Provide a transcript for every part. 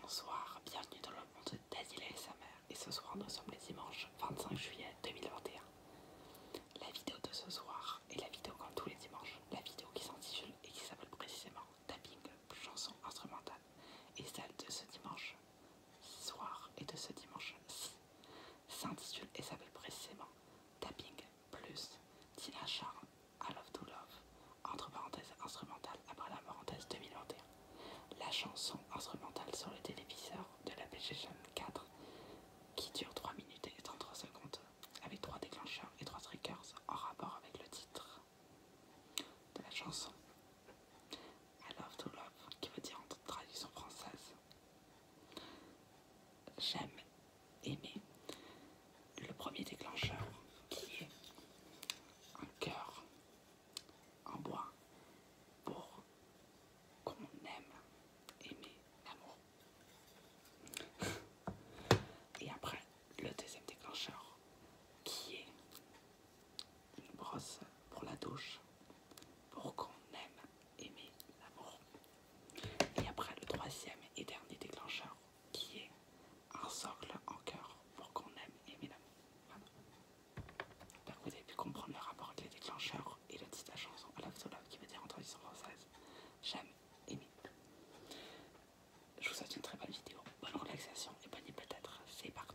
Bonsoir, bienvenue dans le monde d'Adila et sa mère et ce soir nous sommes les dimanches 25 juillet 2021. La vidéo de ce soir est la vidéo comme tous les dimanches, la vidéo qui s'intitule et qui s'appelle précisément Tapping, chanson instrumentale et celle de ce dimanche soir et de ce dimanche s'intitule et s'appelle précisément Tapping plus Tina I Love to Love, entre parenthèses instrumentale après la parenthèse 2021, la chanson instrumentale sur le téléviseur de la PlayStation 4 qui dure 3 minutes et 33 secondes avec 3 déclencheurs et 3 triggers en rapport avec le titre de la chanson. I Love to Love qui veut dire en traduction française J'aime aimer. Le premier déclencheur qui est un cœur en bois pour qu'on aime aimer l'amour. Et après, le deuxième déclencheur qui est une brosse pour la douche pour qu'on aime aimer l'amour. Et après, le troisième et dernier déclencheur qui est un socle en cœur pour qu'on aime J'espère que vous avez pu comprendre le rapport avec les déclencheurs et le titre de la chanson à qui veut dire en traduction française j'aime aimer. Je vous souhaite une très belle vidéo, bonne relaxation et bonne nuit peut-être. C'est parti.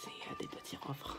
C'est à euh, des petits offres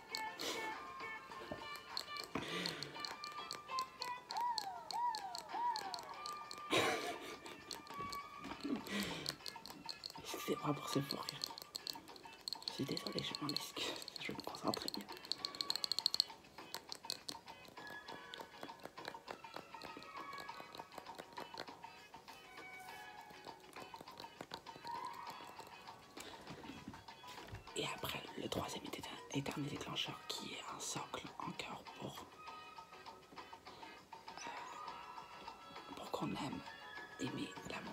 C'est pas pour se fourrir. Je suis désolée, je m'en excuse. Je me concentre très bien. Et après, le troisième est éternel déclencheur qui est un socle en pour, euh, pour qu'on aime aimer l'amour.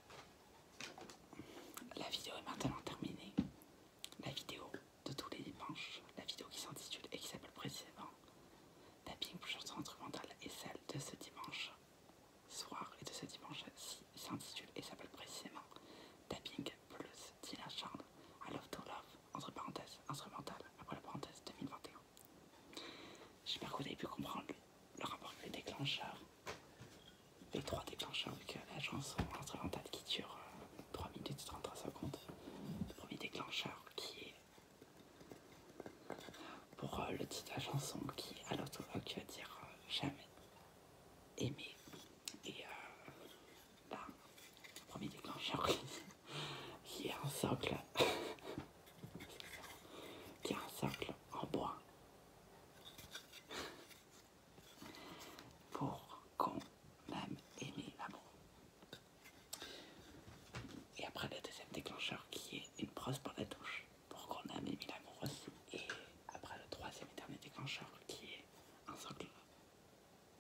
La vidéo est maintenant terminée. La vidéo de tous les dimanches, la vidéo qui s'intitule et qui s'appelle précisément Tapping plus chanson instrumentale et celle de ce dimanche soir et de ce dimanche s'intitule et s'appelle précisément Tapping plus Dylan I Love to Love entre parenthèses instrumentale, après la parenthèse 2021. J'espère que vous avez pu comprendre le rapport avec les déclencheurs les trois déclencheurs avec euh, l'agence instrumentale qui dure 3 euh, minutes 33 secondes. Le premier déclencheur qui est pour euh, le titre de la chanson qui à tu vas dire jamais aimé Et premier déclencheur qui est un socle. qui est un socle en bois pour qu'on aime aimer l'amour. Et après le deuxième déclencheur qui est une brosse pour la douche pour qu'on aime aimer l'amour aussi. Et après le troisième et dernier déclencheur qui est un socle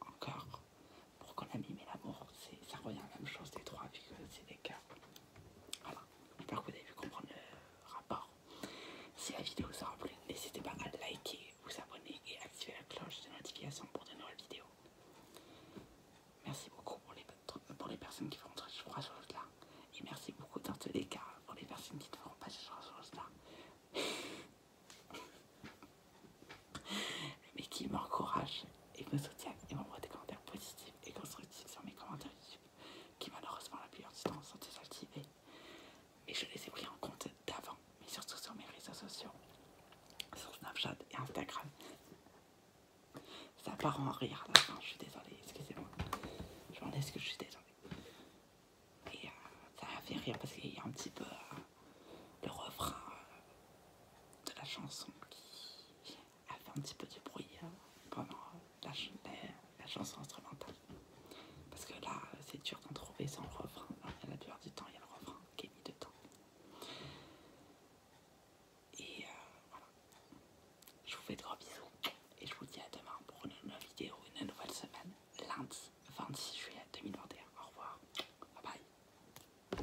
encore pour qu'on aime aimer l'amour, ça revient à la même chose des trois vu que c'est des cœurs. Voilà, j'espère que vous avez pu comprendre le rapport. Si la vidéo vous aura plu, n'hésitez pas à liker, vous abonner et activer la cloche de notification pour de nouvelles vidéos. Merci beaucoup pour les, pour les personnes qui feront ce genre là. Et merci beaucoup dans tous les cas pour les personnes qui ne feront pas ce genre de là. Mais qui m'encourage ils me soutiennent et m'envoient des commentaires positifs et constructifs sur mes commentaires YouTube, qui malheureusement la plupart du temps sont désactivés. Et je les ai pris en compte d'avant, mais surtout sur mes réseaux sociaux, sur Snapchat et Instagram. Ça part en rire à la fin, je suis désolée, excusez-moi. Je m'en laisse que je suis désolée. Et euh, ça m'a fait rire parce qu'il y a un petit peu euh, le refrain euh, de la chanson qui, à faire un petit peu de bruit hein, pendant euh, la, chanson instrumentale. Parce que là, euh, c'est dur d'en trouver sans le refrain. Hein, elle la duré du temps, il y a le refrain qui est mis temps Et euh, voilà. Je vous fais de gros bisous. Et je vous dis à demain pour une nouvelle vidéo, une nouvelle semaine. Lundi 26 juillet 2021. Au revoir. Bye bye.